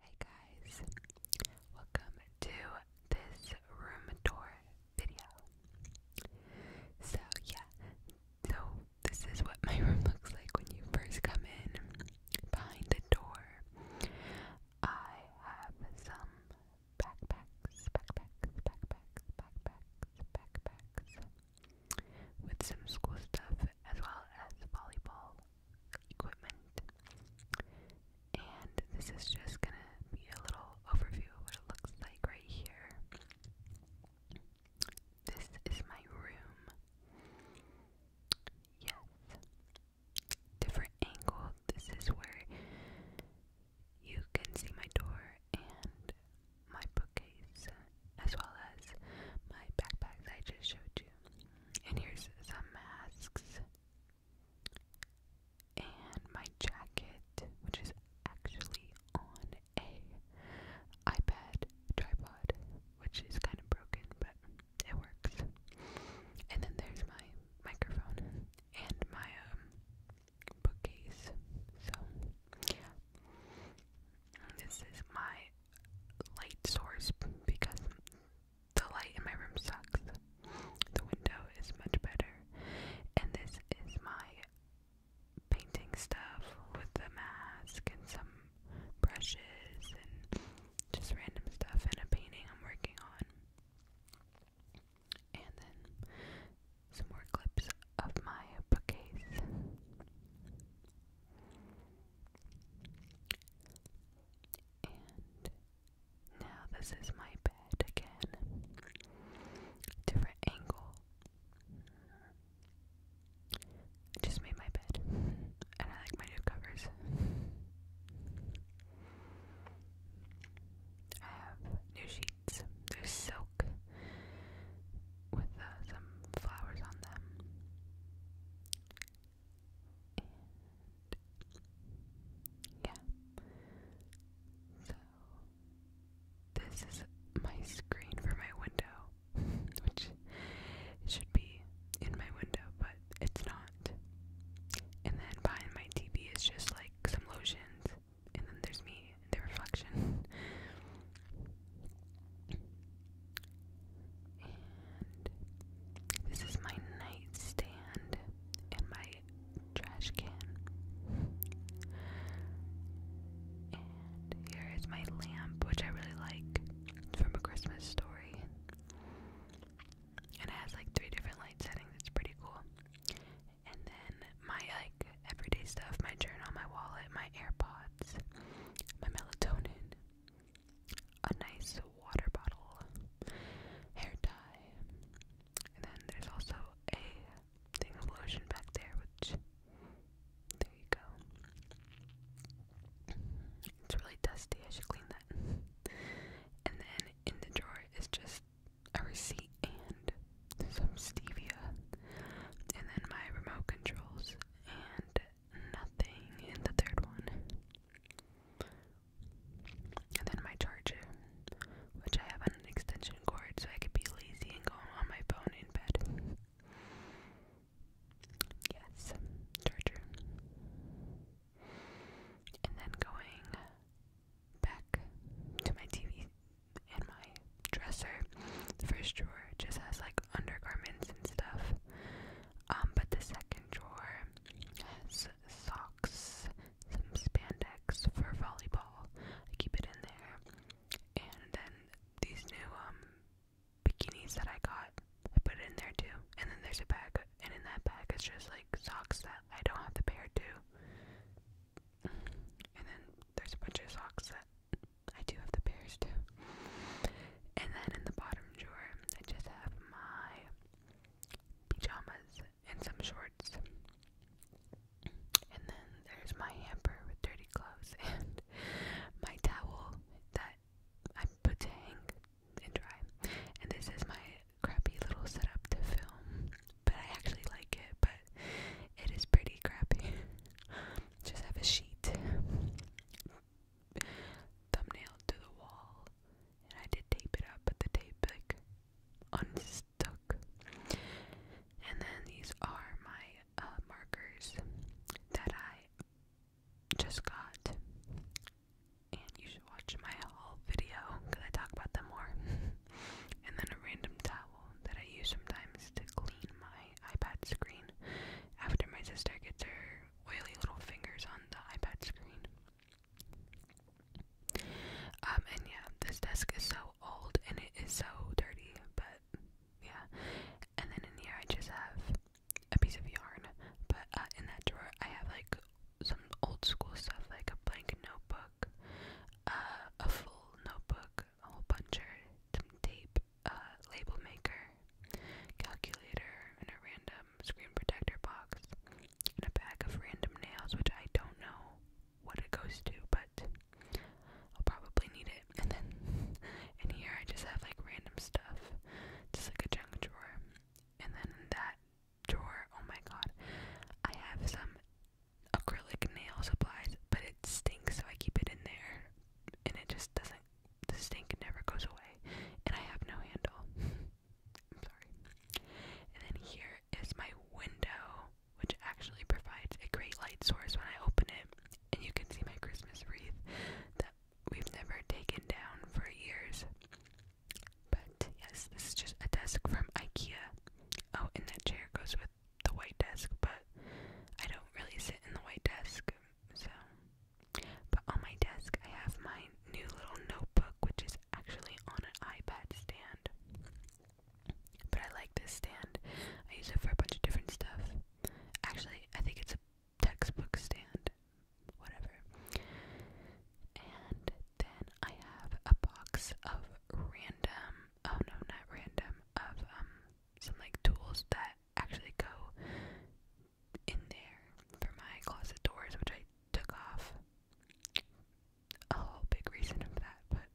Hey guys, welcome to this room tour video. So yeah, so this is what my room looks like when you first come in. Behind the door, I have some backpacks, backpacks, backpacks, backpacks, backpacks, with some school stuff as well as volleyball equipment. And this is just going to be a little overview of what it looks like right here. This is my room. Yes. Different angle. This is where you can see my door and my bookcase, as well as my backpacks I just showed you and here's some masks. And my jacket, which is actually on a iPad tripod, which is kind of broken, but it works. And then there's my microphone and my um, bookcase. So yeah, this is my light source because the light in my room sucks. The window is much better. And this is my painting stuff with the mask and some brushes and just random stuff and a painting I'm working on. And then some more clips of my bookcase. And now this is my bed again. Different angle. I just made my bed. And I like my new covers. I have new sheets. They're so with uh, some flowers on them. yeah. So this is my screen for my window, which should be in my window, but it's not. And then behind my TV is just like some lotions, and then there's me the reflection. this is my nightstand and my trash can. And here is my lamp, which I really like. It's from a Christmas story. it has like three different light settings. It's pretty cool and then my like everyday stuff, my journal, my wallet, my AirPods, my melatonin, a nice water bottle, hair tie, and then there's also a thing of lotion back there, which there you go. It's really dusty, I should clean that. And then in the drawer is just a receipt and some stevia, and then my remote controls, and nothing in the third one. And then my charger, which I have on an extension cord so I can be lazy and go on my phone in bed. Yes, charger. And then going back to my TV and my dresser. The first drawer just has like undergarments and stuff. Um, but the second drawer has socks, some spandex for volleyball. I keep it in there. And then these new um bikinis that I got, I put it in there too. And then there's a bag and in that bag it's just like socks that I don't have the pair to and then there's a bunch of socks that I do have the pairs too. And then in the bottom drawer, I just have my pajamas and some shorts. And then there's my hamper with dirty clothes and my towel that I put to hang and dry. And this is my crappy little setup to film, but I actually like it, but it is pretty crappy. Just have a sheet, thumbnail to the wall, and I did tape it up, but the tape like unstuck. And then these are my uh, markers that I just got and you should watch my haul video because I talk about them more. and then a random towel that I use sometimes to clean my iPad screen after my sister gets her oily little fingers on the iPad screen. Um, and yeah, this desk is so old and it is so dirty, but yeah. And then in here, I just have a piece of yarn, but uh, in that drawer, I have like some old school stuff like a blank notebook, uh, a full notebook, a whole bunch of tape, a uh, label maker, calculator, and a random screen protector box, and a bag of random nails, which I don't know what it goes to, but I'll probably need it. And then in here I just have like random stuff, just like a junk drawer. And then in that drawer. Oh my god. I have some acrylic nail supplies, but it stinks, so I keep it in there. And it just doesn't, the stink never goes away. And I have no handle. I'm sorry. And then here is my window, which actually provides a great light source when I open it. And you can see my Christmas wreath that we've never taken down for years. But yes, this is just a desk from IKEA. Oh, and that chair goes with the white desk, but I don't really sit in the white desk, so. But on my desk, I have my new little notebook, which is actually on an iPad stand. But I like this stand. I use it for a bunch of different stuff. Actually, I think it's a textbook stand, whatever. And then I have a box of random, oh no, not random, of um, some like tools that actually go in there for my closet doors, which I took off. A whole big reason of that, but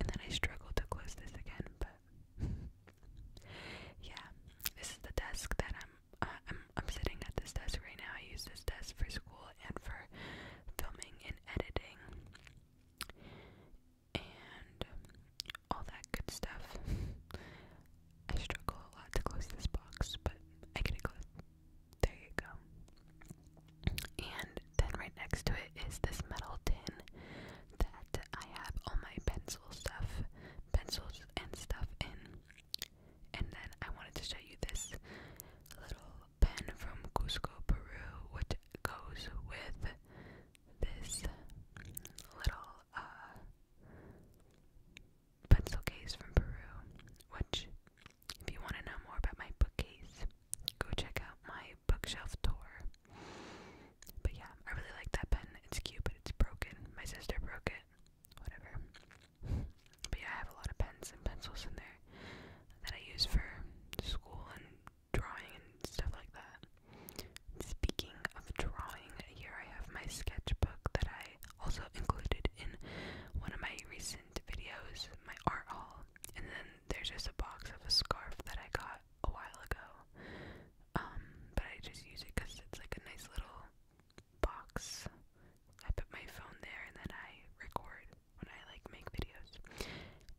and then I struggled to close this again, but yeah, this is the desk that I'm uh, I'm I'm sitting at this desk right now. I use this desk for school and for filming and editing and all that good stuff. I struggle a lot to close this box, but I can it There you go. And then right next to it is this metal tin that I have all my pencil stuff, pencils, and stuff in. And then I wanted to show you this little pen from Cusco, Peru, which goes with this little uh, pencil case from Peru. Which, if you want to know more about my bookcase, go check out my bookshelf tour. But yeah, I really like that pen. It's cute, but it's broken. My sister broke it. Whatever. But yeah, I have a lot of pens and pencils in there that I use for school and drawing and stuff like that. Speaking of drawing, here I have my sketchbook that I also included in one of my recent videos, my art haul. And then there's just a box of a scarf that I got got a while ago. Um, but I just use it because it's like a nice little box. I put my phone there and then I record when I like make videos.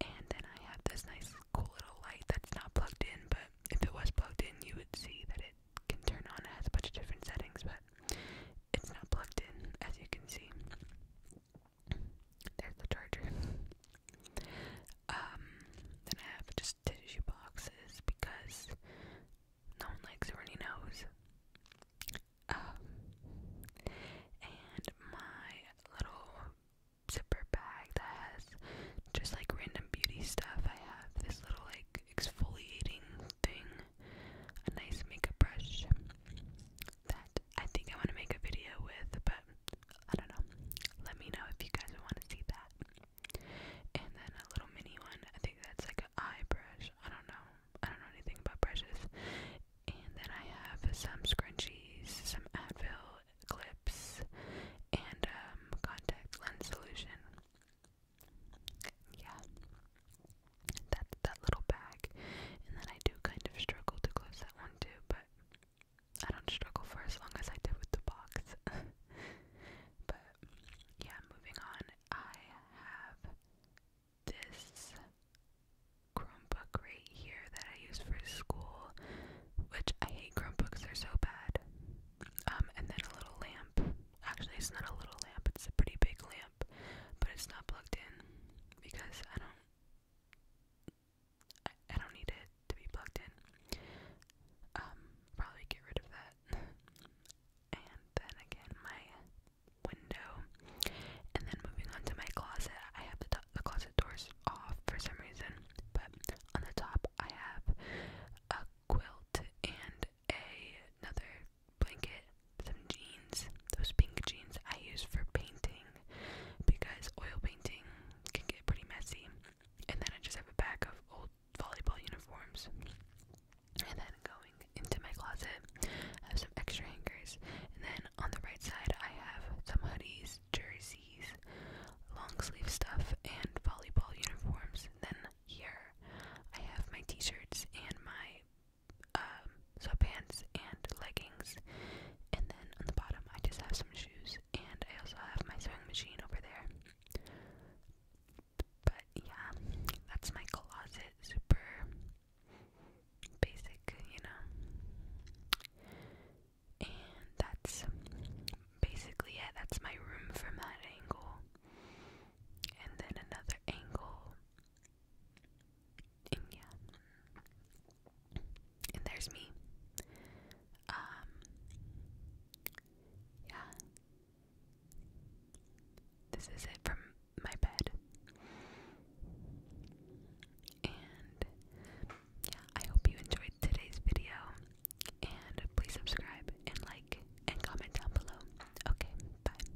And then I have this nice cool little light that's not plugged in, but if it was plugged in, you would see that it can turn on. It has a bunch of different settings, but it's not plugged in, as you can see. There's the charger. Um, then I have just tissue boxes because no one likes a runny nose. Um, and my little zipper bag that has just like random beauty stuff. I have this little like exfoliating thing, a nice makeup brush that I think I want to make a video with, but I don't know. Let me know if you guys want to see that. And then a little mini one. I think that's like an eye brush. I don't know. I don't know anything about brushes. And then I have some scrunchies, some Advil clips, and um, contact lens solution. Yeah. That's that little bag. And then I do kind of struggle to close that one too, but I don't struggle for as long as I did with the box. but yeah, moving on. I have this Chromebook right here that I use for school, which I hate Chromebooks, they're so bad. Um, and then a little lamp. Actually, it's not a little lamp, it's a pretty big lamp, but it's not plugged in because I don't I, don't need it to be plugged in. Um, probably get rid of that. and then again, my window. And then moving on to my closet, I have the, the closet doors off for some reason. But on the top, I have a quilt and a, another blanket, some jeans. Those pink jeans I use for painting because oil painting can get pretty messy. And then I just have a pack of old volleyball uniforms. And then going into my closet, I have some extra hangers. And then on the right side, I have some hoodies, jerseys, long sleeve stuff, and volleyball uniforms. And then here, I have my t shirts and my um, sweatpants and leggings. And then on the bottom, I just have some shoes, and I also have my sewing machine over there. But yeah, that's my closet. Super basic, you know. And that's basically it. That's my room from that angle. And then another angle and yeah, and there's me. Um, yeah, this is it from my bed, and yeah, I hope you enjoyed today's video. And please subscribe and like and comment down below. Okay, bye.